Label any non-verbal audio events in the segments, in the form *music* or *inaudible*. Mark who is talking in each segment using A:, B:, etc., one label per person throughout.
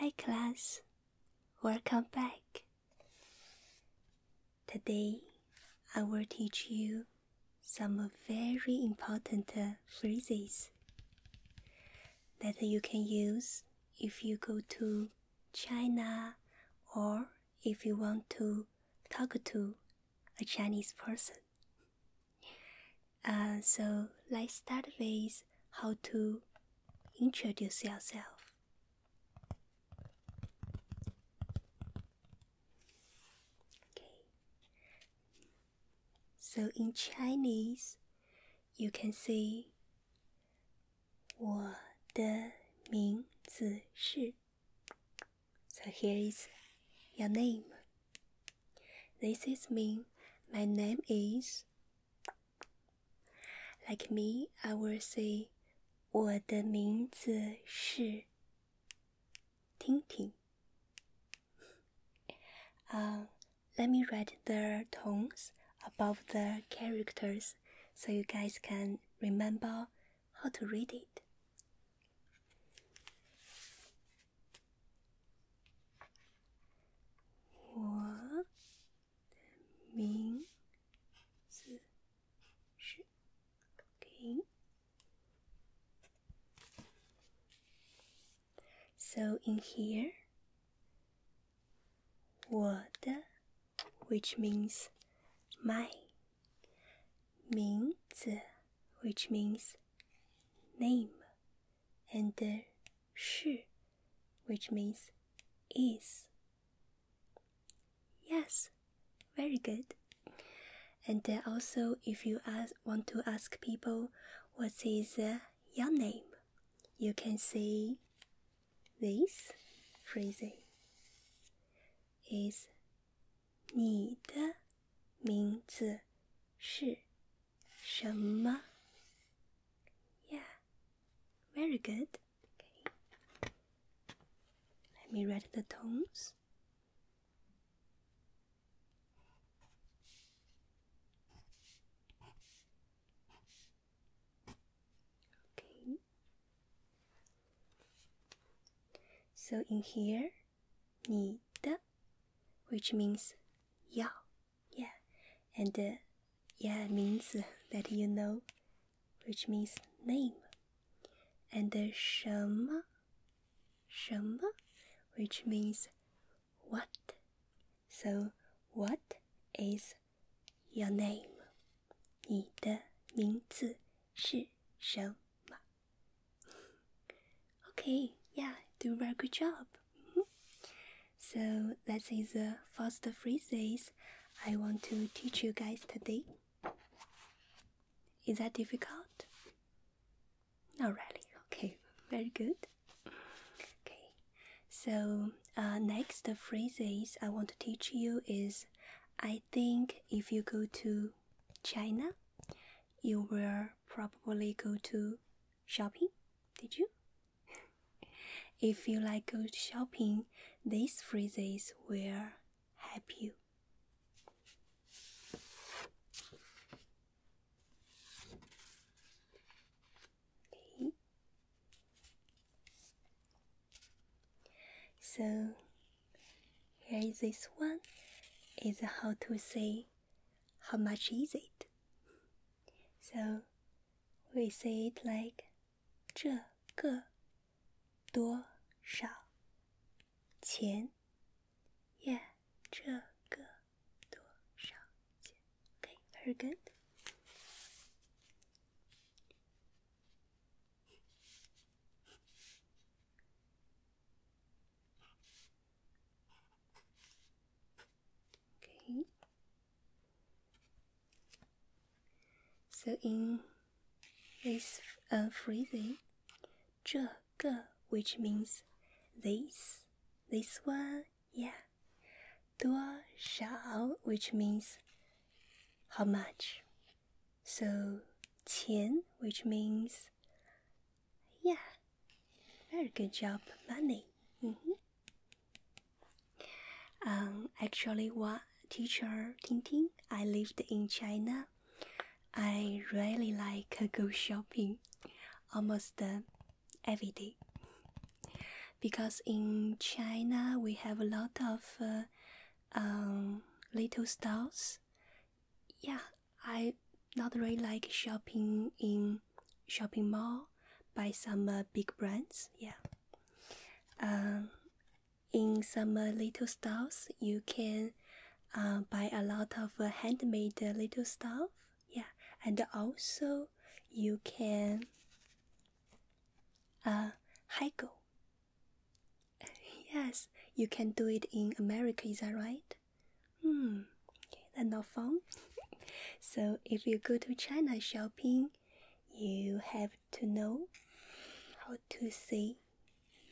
A: Hi, class. Welcome back. Today, I will teach you some very important phrases that you can use if you go to China or if you want to talk to a Chinese person. Uh, so let's start with how to introduce yourself. Okay. So in Chinese, you can say 我的名字是 So here is your name. This is me. My name is. Like me, I will say 我的名字是婷婷。Uh, *laughs* let me read the tones above the characters so you guys can remember how to read it. 我的名字是 OK. So in here, 我的 which means my 名字 which means name and the shi, which means is. Yes, very good. And uh, also, if you want to ask people what is uh, your name, you can say this phrase is 你的名字是什么? Yeah, very good. Okay. Let me read the tones. Okay. So in here 你的，which means yeah, yeah, and uh, yeah means that you know, which means name, and uh, 什么什么，which means what. So what is your name? 你的名字是什么？Okay, yeah, do a very good job. Mm-hmm. So that is the first phrases I want to teach you guys today. Is that difficult? Not really. Okay, *laughs* very good. Okay, so uh, next the phrases I want to teach you is I think if you go to China, you will probably go to shopping, did you? *laughs* if you like go shopping, these phrases will help you. Okay. So here is this one is how to say how much is it? So we say it like Yeah, 这个多少钱？Yeah, Okay, very good. Okay. So in this uh, phrase, 这个 which means this, this one, yeah. 多少 which means how much. So 钱 which means yeah, very good job, Bunny. Mm -hmm. um, actually, what teacher Ting I lived in China. I really like go shopping, almost every day. Because in China we have a lot of uh, um, little stores. Yeah, I not really like shopping in shopping mall Buy some uh, big brands. Yeah. Um, in some uh, little stores, you can uh, buy a lot of uh, handmade little stuff. Yeah, and also you can uh, haggle. Yes, you can do it in America, is that right? Hmm, that's not fun. *laughs* so if you go to China shopping, you have to know how to say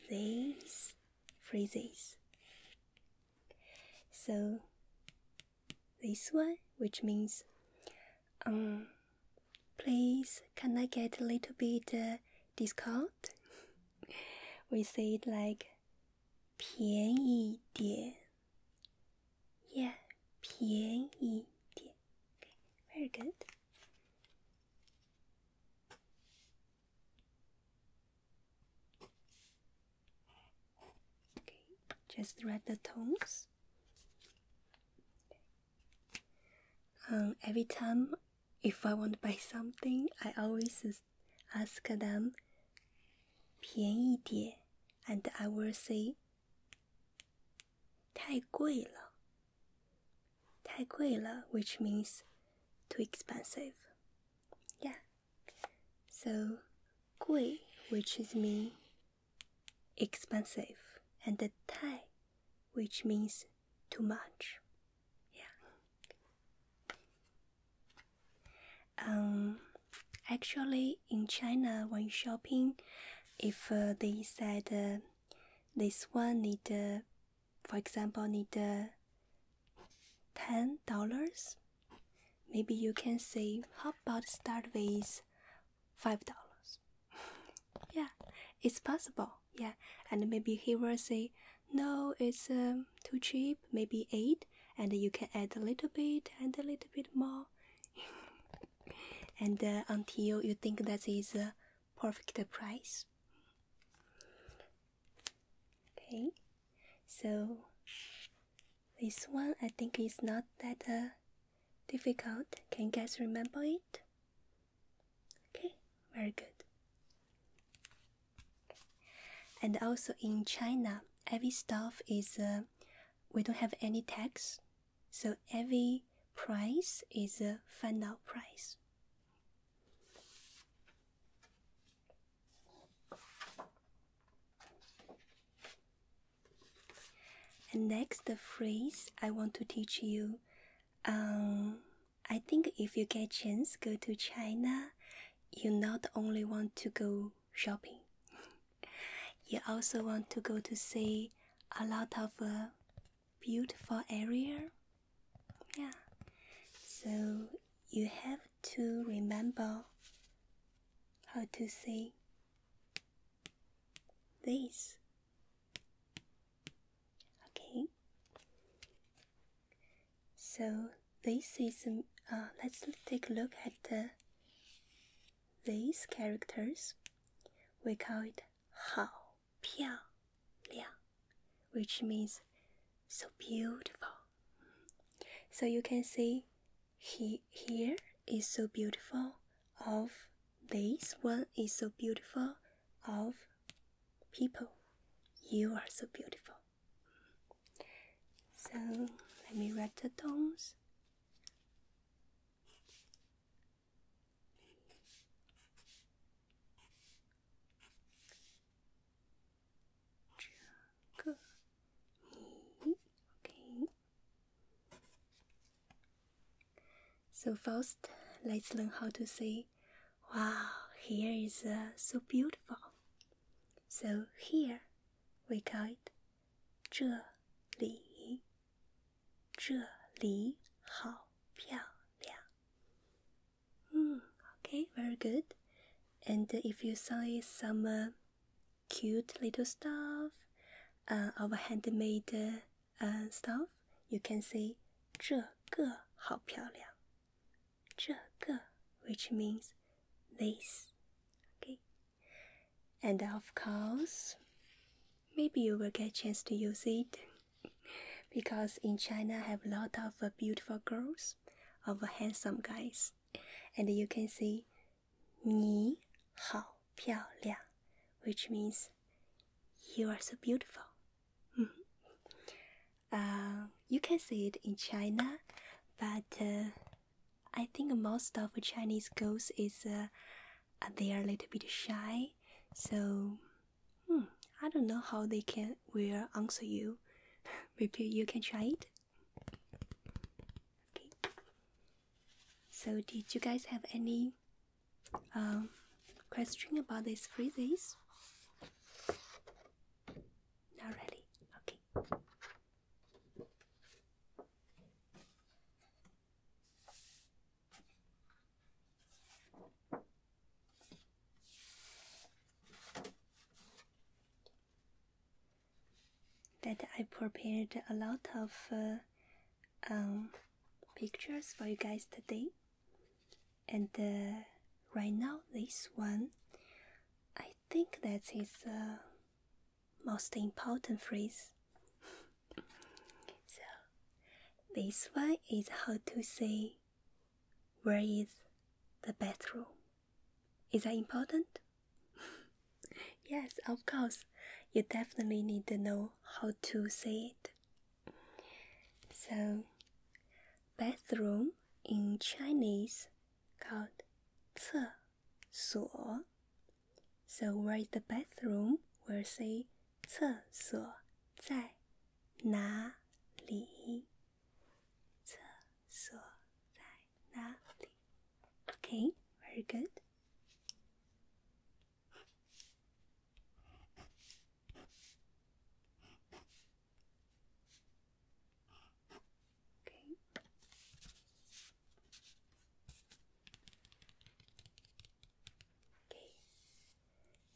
A: these phrases. So this one, which means, um, please, can I get a little bit uh, discount? we say it like 便宜点. Yeah, 便宜点. Okay, very good. Okay, just read the tones. Um, every time if I want to buy something, I always ask them 便宜点 and I will say 太贵了太贵了 which means too expensive. Yeah. So 贵 which is mean expensive and 太 which means too much. Yeah. Um, actually, in China, when shopping, if uh, they said uh, this one need, uh, for example, need ten dollars, maybe you can say, how about start with five dollars? *laughs* yeah, it's possible yeah and maybe he will say no it's um, too cheap maybe 8 and you can add a little bit and a little bit more *laughs* and uh, until you think that is a perfect price okay so this one i think is not that uh, difficult can you guys remember it Okay, very good. And also in China, every stuff is uh, we don't have any tax, so every price is a final price. And next, the phrase I want to teach you um, I think if you get chance go to China, you not only want to go shopping, *laughs* you also want to go to see a lot of uh, beautiful area. Yeah. So you have to remember how to say this Okay. So this is uh, let's take a look at the these characters. We call it hao piao liang, which means so beautiful. So you can see he here is so beautiful of this one is so beautiful of people. You are so beautiful. So let me write the tones. Okay. So first, let's learn how to say, wow, here is uh, so beautiful. So here, we call it 这里,这里好漂亮. Mm, okay, very good. And if you saw some uh, cute little stuff, uh, our handmade uh, and stuff, you can say 这个好漂亮.这个, which means this. Okay. And of course, maybe you will get a chance to use it *laughs* because in China have a lot of uh, beautiful girls, of uh, handsome guys, and you can say 你好漂亮, which means you are so beautiful. *laughs* uh, you can see it in China, but uh, I think most of Chinese girls is uh, uh, they are a little bit shy, so hmm, I don't know how they can will answer you. *laughs* Maybe you can try it. Okay. So, did you guys have any um, question about these three Not really. Okay. That I prepared a lot of uh, um, pictures for you guys today and uh, right now this one i think that's the most important phrase *laughs* so this one is how to say where is the bathroom is that important *laughs* yes of course you definitely need to know how to say it so, bathroom in Chinese called 厕所. So, where is the bathroom? We'll say 厕所在哪里？厕所在哪里？Okay, very good. Okay. Okay.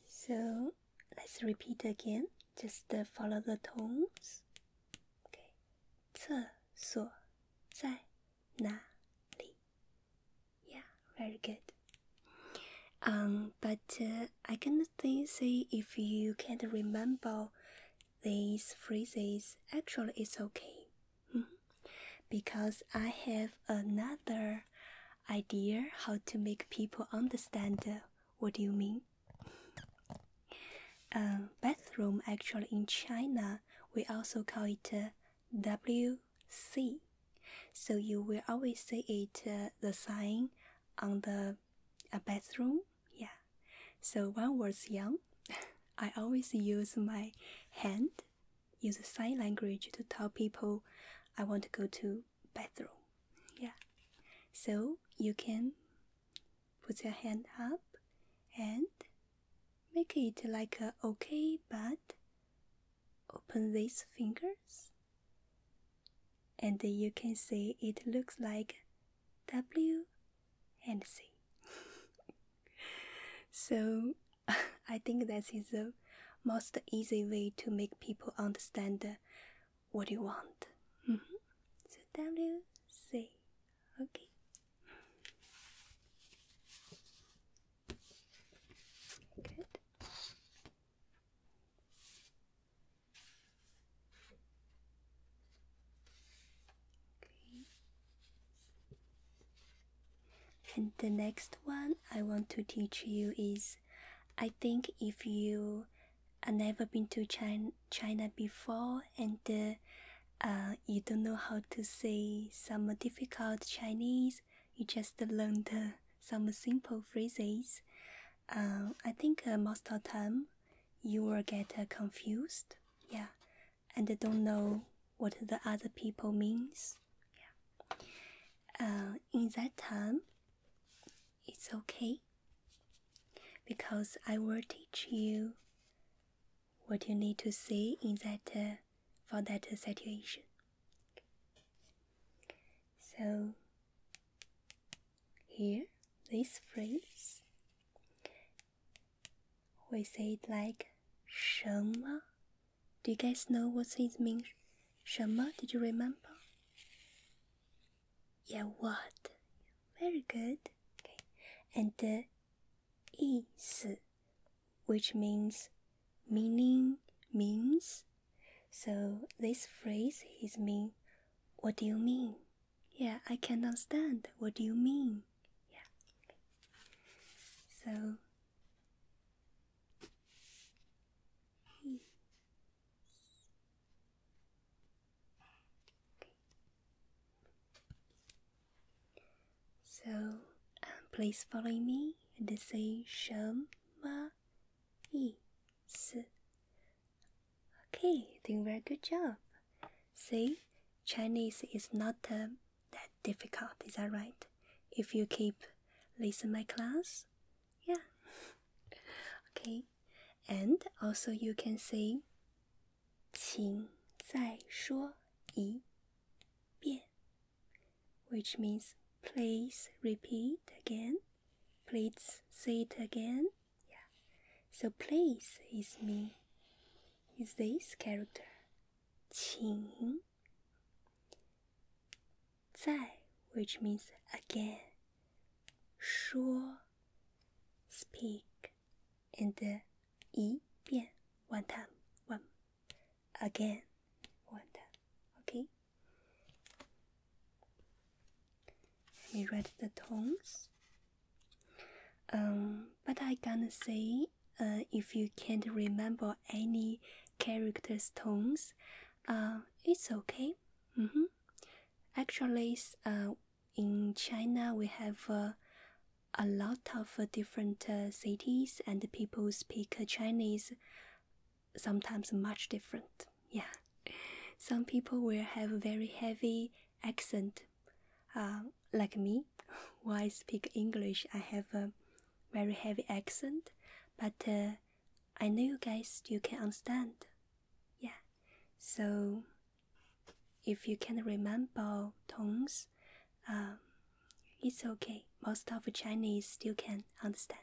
A: So let's repeat again. Just uh, follow the tones. Okay. Yeah, very good. Um, but uh, I can say if you can't remember these phrases, actually it's okay, mm-hmm. because I have another idea how to make people understand uh, what you mean. Uh, bathroom actually in China we also call it uh, w C. So you will always see it uh, the sign on the uh, bathroom. Yeah. So when I was young, *laughs* I always use my hand, use sign language to tell people I want to go to bathroom. Yeah. So you can put your hand up and make it like a uh, okay but open these fingers and you can see it looks like W and C. *laughs* so *laughs* I think this is the most easy way to make people understand what you want. Mm -hmm. So W C okay. Good. Okay. And the next one I want to teach you is I think if you have uh, never been to China, China before and uh, uh, you don't know how to say some difficult Chinese, you just learned some simple phrases. Uh, I think uh, most of the time you will get uh, confused, yeah, and don't know what the other people means. Yeah. in that time, it's okay because I will teach you what you need to say in that for that situation. So, here, this phrase, we say it like 什么? Do you guys know what it means? 什么? Did you remember? Yeah, what? Very good. Okay. And uh, 意思, which means meaning means. So this phrase is mean what do you mean? Yeah, I can understand. What do you mean? Yeah. So so uh, please follow me and say 什么意思 Okay, doing very good job. See, Chinese is not uh, that difficult, is that right? If you keep listening my class, yeah. *laughs* okay, and also you can say 请再说一遍。which means please repeat again, please say it again. Yeah. So please is me, is this character. 请在 which means again. 说 speak and 一遍 uh, one time one again one time okay let me read the tones um but i gonna say uh, if you can't remember any characters tones uh it's okay mm -hmm. actually uh, in china we have uh, a lot of different uh, cities and people speak Chinese sometimes much different. Yeah. Some people will have very heavy accent. Uh, like me, *laughs* When I speak English, I have a very heavy accent, but uh, I know you guys you can understand. Yeah. So if you can remember tones um, it's okay. Most of Chinese still can understand.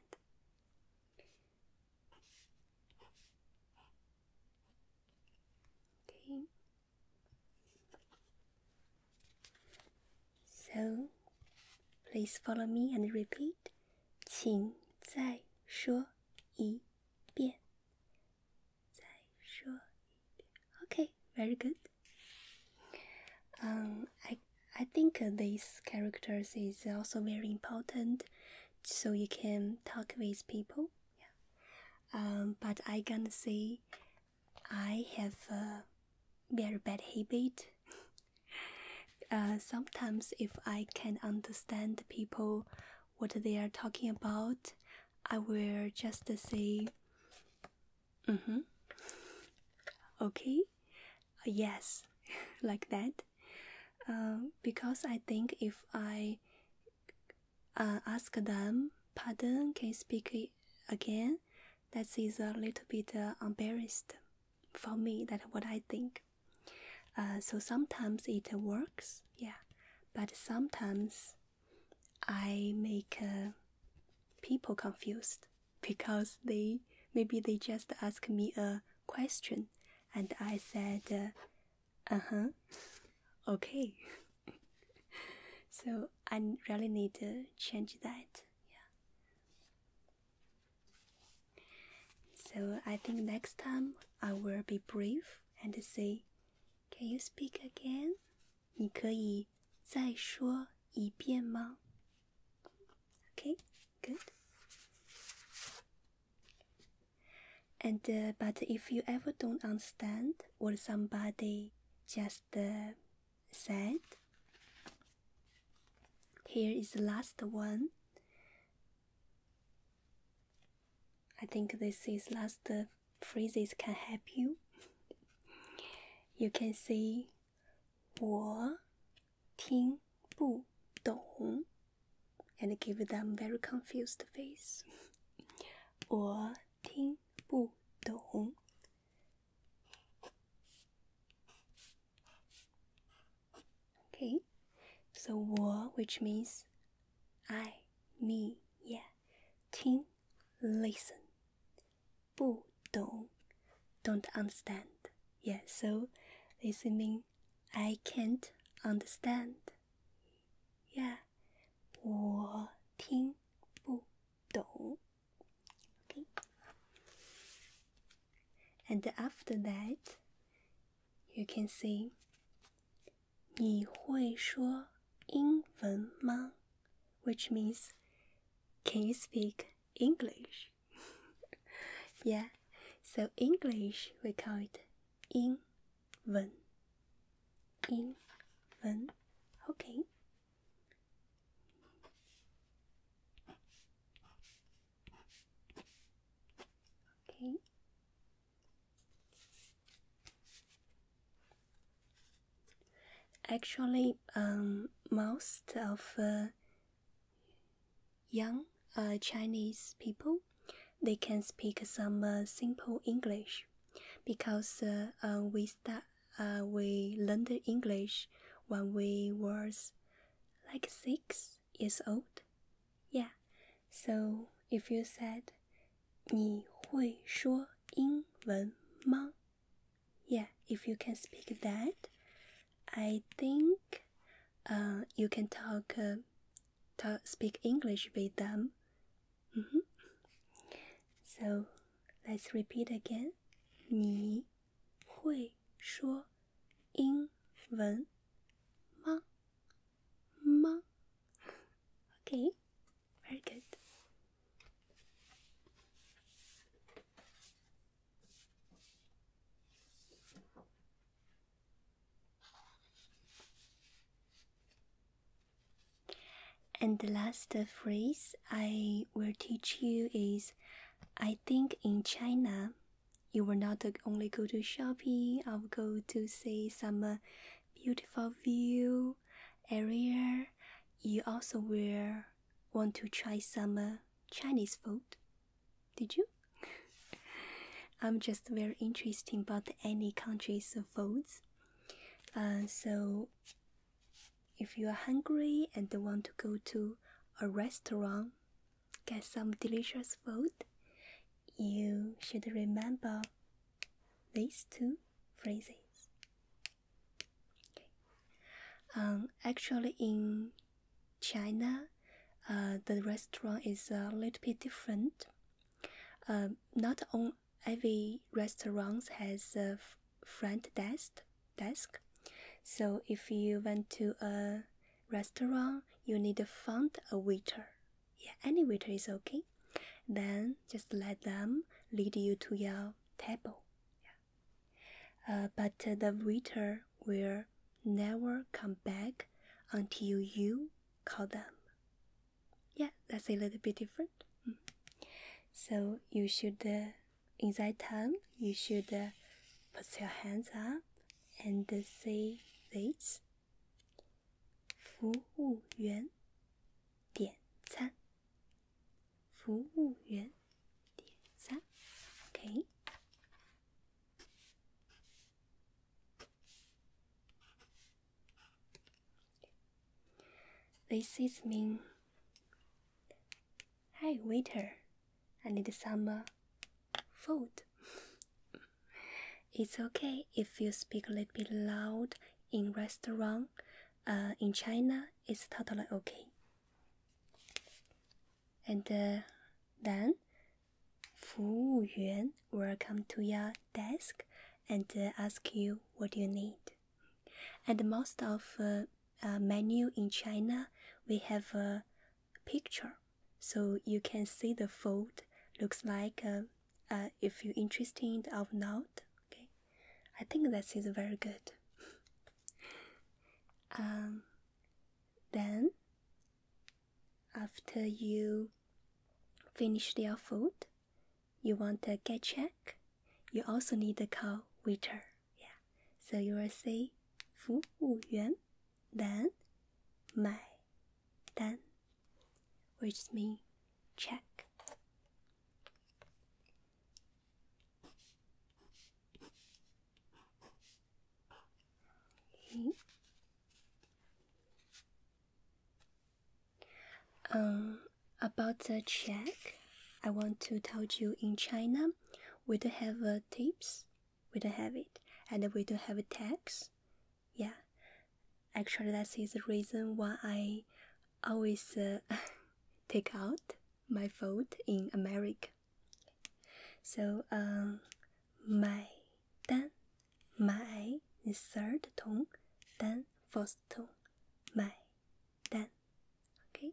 A: Okay. So, please follow me and repeat. 请再说一遍。再说 Okay, very good. Um, I I think these characters is also very important, so you can talk with people. Um, but I gonna say, I have a very bad habit. *laughs* uh, sometimes if I can understand people, what they are talking about, I will just say, Mm-hmm. Okay. Uh, yes, *laughs* like that. Uh, because I think if I uh, ask them, pardon, can you speak again? That is a little bit uh, embarrassed for me. That's what I think. Uh, so sometimes it works, yeah, but sometimes I make uh, people confused because they maybe they just ask me a question and I said, uh, huh, okay. *laughs* so I really need to change that. Yeah. So I think next time I will be brief and say, can you speak again? 你可以再说一遍吗？Okay, good. And uh, but if you ever don't understand what somebody just uh, said, here is the last one. I think this is last uh, the phrases can help you. You can say 我听不懂 and give them very confused face. *laughs* 我听不懂 Okay, so 我 which means I, me, yeah. 听 listen. 不懂 don't understand. Yeah, so listen mean I can't understand. Yeah. 我听不懂 Okay. And after that you can see. 你会说英文吗？Which means, can you speak English? *laughs* yeah, so English we call it Okay. Actually, um, most of uh, young uh, Chinese people they can speak some uh, simple English because uh, we start we learned English when we was like six years old. Yeah, so if you said 你会说英文吗？Yeah, if you can speak that, I think, uh, you can talk, uh, talk speak English with them. Mm -hmm. So let's repeat again. 你会说英文吗？吗？Okay. Very good. And the last phrase I will teach you is I think in China you will not only go to shopping, I will go to see some beautiful view earlier you also will want to try some uh, Chinese food. Did you? *laughs* I'm just very interested about any country's foods. Uh, so, if you are hungry and want to go to a restaurant, get some delicious food, you should remember these two phrases. Um, actually, in China, uh, the restaurant is a little bit different. Uh, not all every restaurant has a front desk desk. So if you went to a restaurant, you need to find a waiter yeah any waiter is okay then just let them lead you to your table yeah. uh, but uh, the waiter will never come back until you call them yeah that's a little bit different mm. so you should uh, in that time you should uh, put your hands up and uh, say this 服务员点餐。服务员点餐，OK。This is me. Hi, waiter. I need some uh, food. *laughs* It's okay if you speak a little bit loud in restaurant. Uh, in China, it's totally okay. And uh, then, 服务员 will come to your desk and uh, ask you what you need. And most of uh, menu in China, we have a picture, so you can see the food looks like. Uh, uh, if you're interested or not, okay i think this is very good *laughs* um, then after you finish your food you want to get check you also need to call waiter yeah so you will say 服务员 then 买 then, which means check. Um, about the check, I want to tell you in China, we don't have uh, tips, we don't have it, and we don't have a tax, yeah actually that is the reason why i always uh, *laughs* take out my vote in america so um my dan my is third tone then first tone my then okay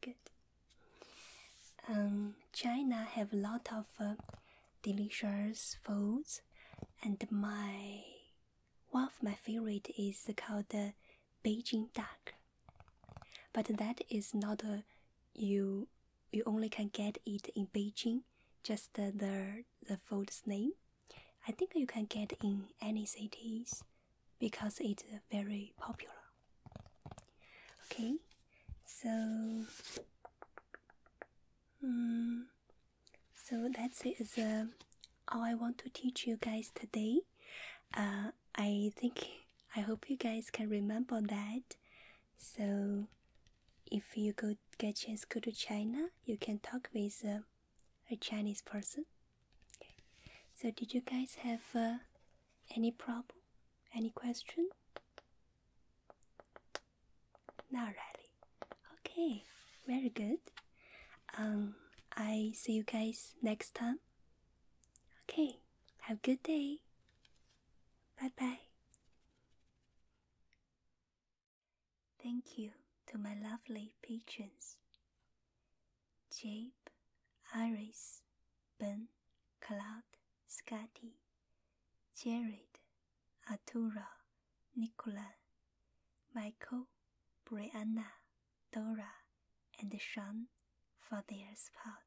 A: good um china have a lot of uh, delicious foods. And my one of my favorite is called the Beijing duck. But that is not a, you you only can get it in Beijing. Just the, the the food's name. I think you can get in any cities because it's very popular. Okay, so Mm. So that's it is uh, all I want to teach you guys today. Uh, I think I hope you guys can remember that. So if you go get chance go to China, you can talk with uh, a Chinese person. So did you guys have uh, any problem? Any question? Not really. Okay, very good. Um, I see you guys next time. Okay, have a good day. Bye bye. Thank you to my lovely patrons Jabe, Iris, Ben, Cloud, Scotty. Jared, Artura, Nicola, Michael, Brianna, Dora, and Sean for their support.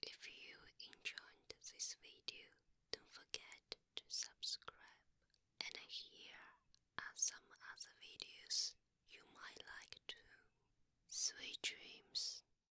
A: If you enjoyed this video, don't forget to subscribe. And here are some other videos you might like too. Sweet dreams.